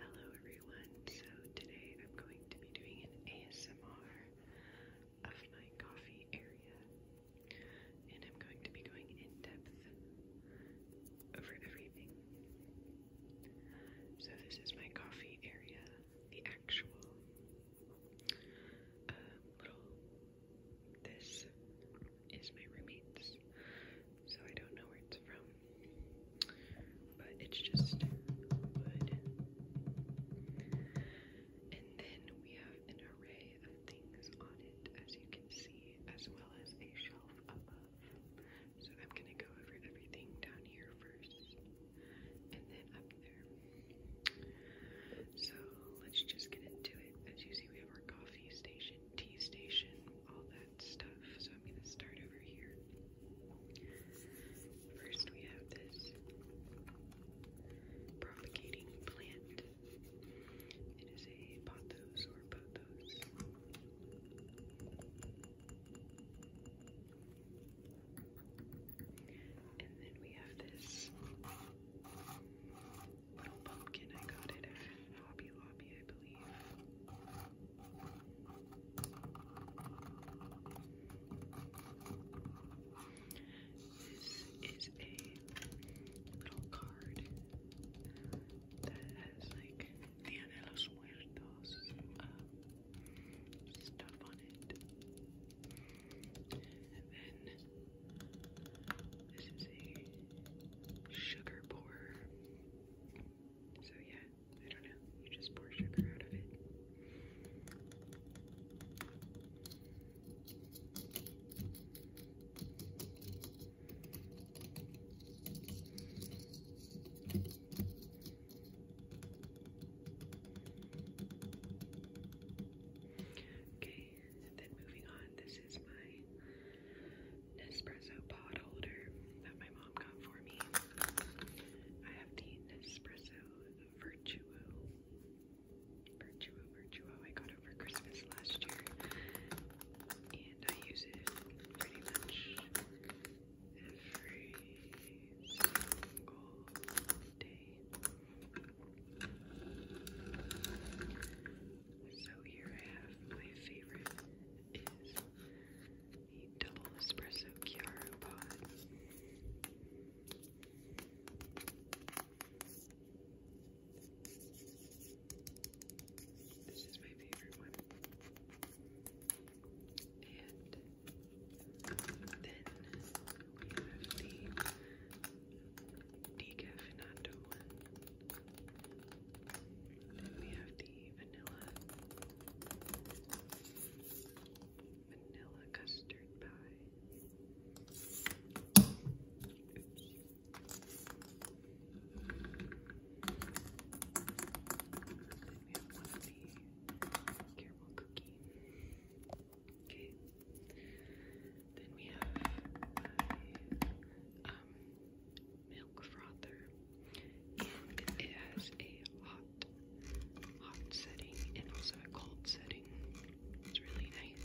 Hello everyone, so today I'm going to be doing an ASMR of my coffee area and I'm going to be going in depth over everything. So this is my coffee area, the actual uh, little, this is my roommate's, so I don't know where it's from but it's just wood. And then we have an array of things on it, as you can see, as well as a shelf above. So I'm going to go over everything down here first, and then up there. So let's just get into it. As you see, we have our coffee station T station, all that stuff. So I'm going to start over here. First, we have this propagating plant. It is a pothos or pothos. And then we have this Little Pumpkin, I got it at Hobby Lobby, I believe. This is a little card that has like Dia de Muertos stuff on it. then this is a sugar pourer. So, yeah, I don't know. You just pour sugar out of it. Okay, then moving on, this is my Nespresso pod holder that my mom got for me. I have the Nespresso Virtuo. Virtuo, Virtuo. I got it for Christmas last year. And I use it pretty much every single day. So here I have my favorite is the double espresso Chiaro pod. This is my favorite one. And then we have the decafinato one. Then we have the vanilla vanilla custard pie. Oops. Then we have one of the caramel cookie. Okay. Then we have my um, milk frother, and it has a hot, hot setting and also a cold setting. It's really nice.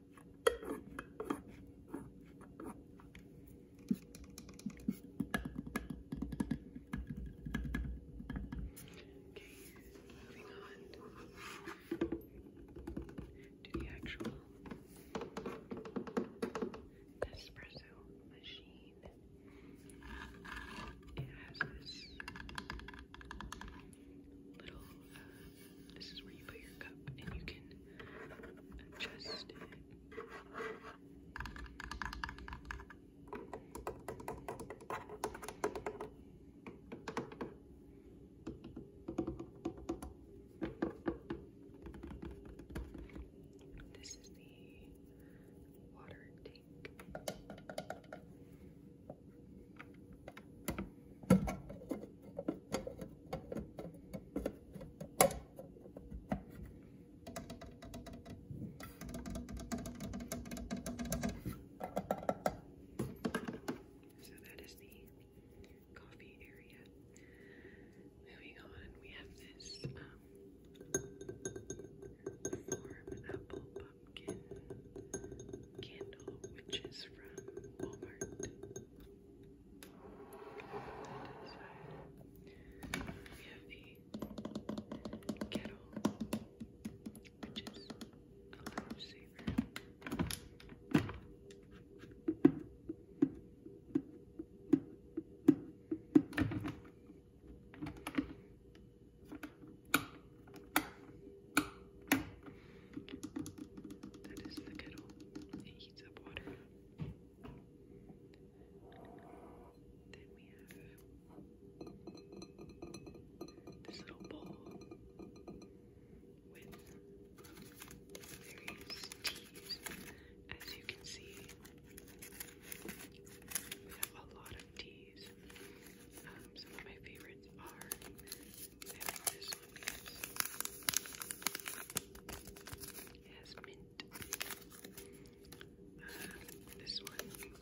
Okay, moving on to the actual espresso machine. It has this little, uh, this is where you put your cup and you can adjust it. This is the water tank. So that is the coffee area. Moving on, we have this um, candle, which is from Walmart. We have the kettle, which is a lifesaver. And that is the kettle. It heats up water. Then we have this little bowl with various teas. As you can see, we have a lot of teas. Um, some of my favorites are, I like this one because it has mint. Uh, this one, really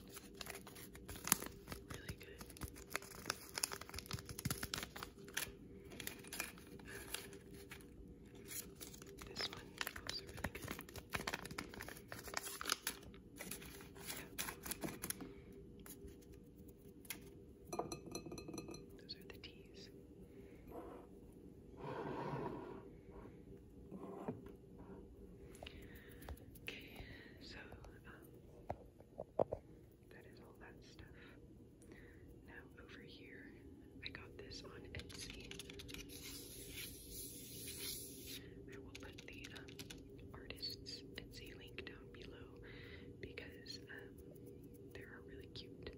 good. this one, also really good. Those are the teas. Okay, so um, that is all that stuff. Now, over here, I got this on Etsy. I will put the um, artists Etsy link down below because um, there are really cute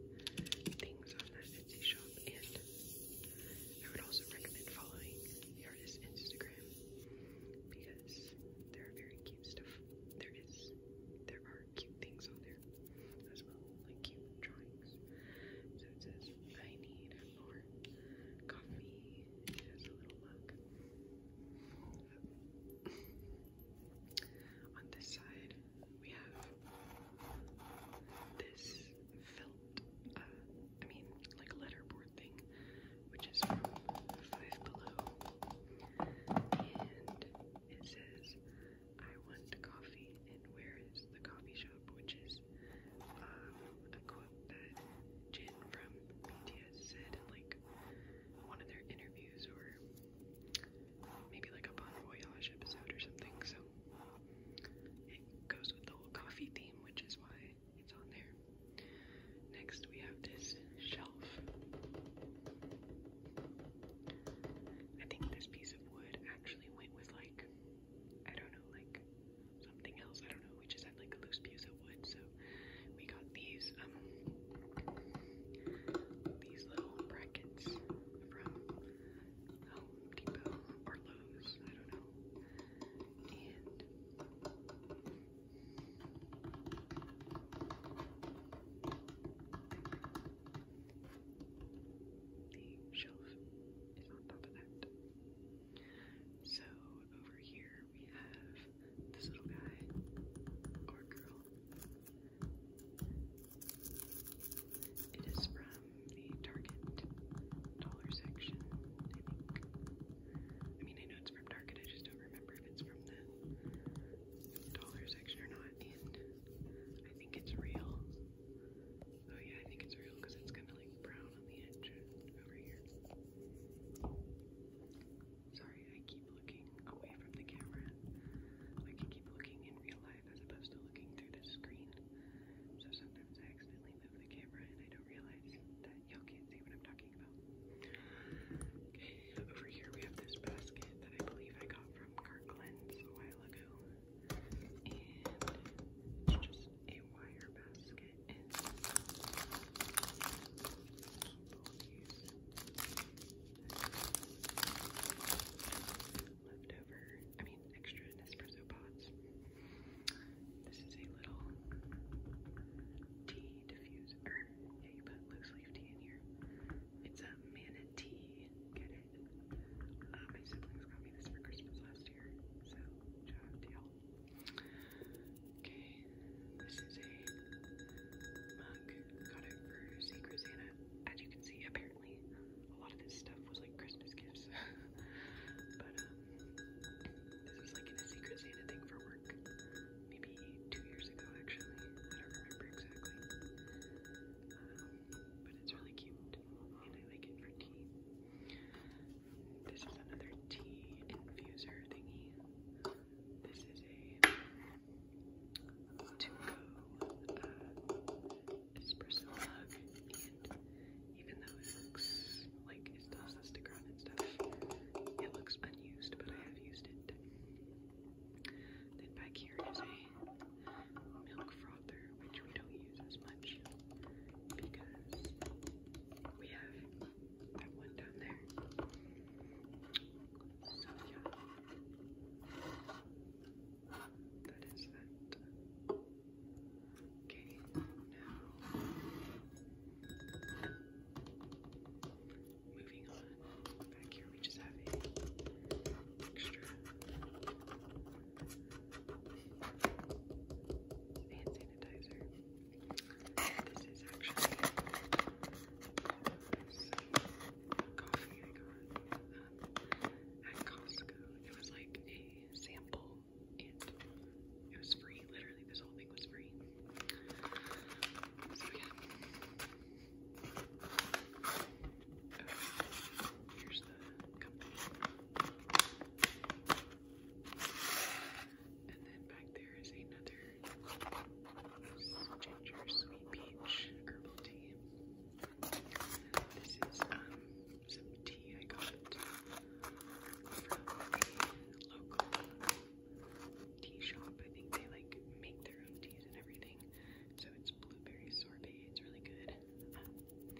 things on that Etsy shop and I would also recommend following the artist Instagram because there are very cute stuff. There is, there are cute things on there as well, like cute drawings. So it says, I need more coffee. It a little mug. On this side, we have this felt, uh, I mean, like letterboard thing, which is from Five Below. And it says, I want coffee, and where is the coffee shop? Which is was um, a quote that Jin from BTS said in like one of their interviews or maybe like a Bon Voyage episode or something. So it goes with the whole coffee theme, which is why it's on there. Next, we have this shelf. I think this piece of wood actually went with like I don't know, like something else. I don't know. We just had like a loose piece of wood, so we got these um these little brackets from Home Depot or Lowe's. I don't know. And the shelf is on top of that. So over here we have this little guy or girl. It is from the Target dollar section, I think. I mean, I know it's from Target, I just don't remember if it's from the dollar section or not. And I think it's real. Oh yeah, I think it's real because it's kind of like brown on the edge over here. Sorry, I keep looking away from the camera. Like I keep looking in real life as opposed to looking through the screen. So sometimes I accidentally move the camera and I don't realize that y'all can't see what I'm talking about. Okay, over here we have this basket that I believe I got from Kirkland's a while ago it's just a wire basket leftover, I mean extra Nespresso pods. This is a little tea diffuser. Yeah, you put loose leaf tea in here. It's a manatee. Get it? Uh, my siblings got me this for Christmas last year, so shout out to y'all. Okay, this is a mug. Got it for Secret Santa. As you can see, apparently a lot of this stuff was like Christmas gifts. but um, this was like in a Secret Santa thing for work. Maybe two years ago actually. I don't remember exactly. Um, but it's really cute and I like it for tea. This is another tea infuser thingy. This is a to uh, espresso mug, and even though it looks like it still has and stuff, it looks unused, but I have used it. Then back here is a milk frother, which we don't use as much because we have that one down there. So yeah, that is that. Okay, now moving on. Back here we just have extra hand sanitizer. This is actually coffee I got um, at Costco. It was like a sample and it was free. Literally, this whole thing was free. So yeah. And then back there is another ginger sweet peach herbal tea. This is um, some tea I got from a local tea shop. I think they like make their own teas and everything. So it's blueberry sorbet. It's really good. Um,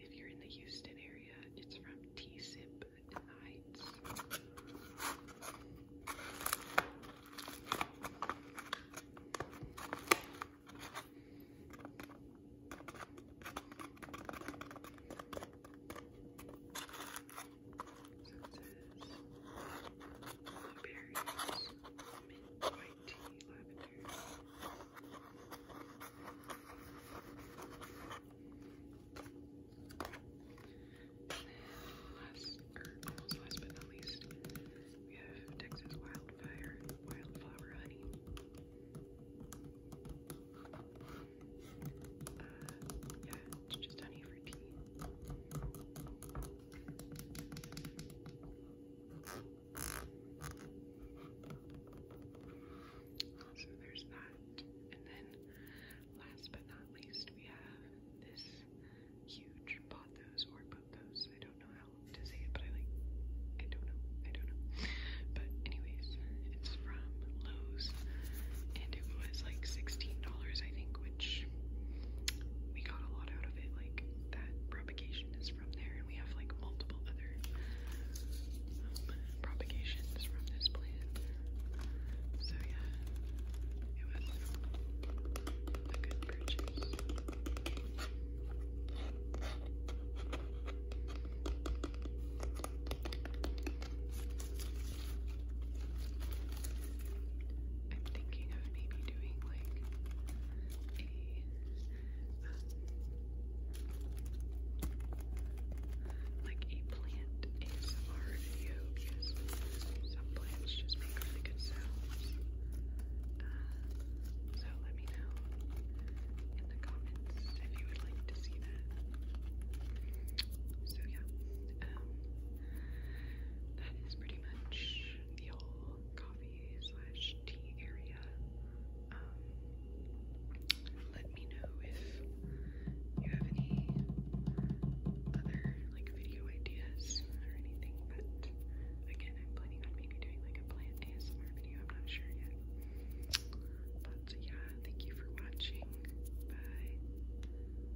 if you're in the Houston area, it's from T Sip in the Heights. So it says blueberries, mint, white last, almost last but not least, we have Texas Wildfire Wildflower Honey. Uh, yeah, it's just honey for tea. So there's that. And then last but not least we have this huge pothos or pothos. I don't know how to say it, but I like I don't know. I don't know. But anyways, it's from Lowe's and it was like $16 I think we got a lot out of it. Like that propagation is from there, and we have like multiple other um, propagations from this plant. So yeah, it was a good purchase. I'm thinking of maybe doing like a like a plant ASMR video because some plants just make really good sounds. Uh, so let me know in the comments if you would like to see that. So yeah, um, that is pretty pretty much the whole coffee slash tea area. Um, let me know if you have any other like video ideas or anything, but again, I'm planning on maybe doing like a plant ASMR video, I'm not sure yet. But yeah, thank you for watching. Bye.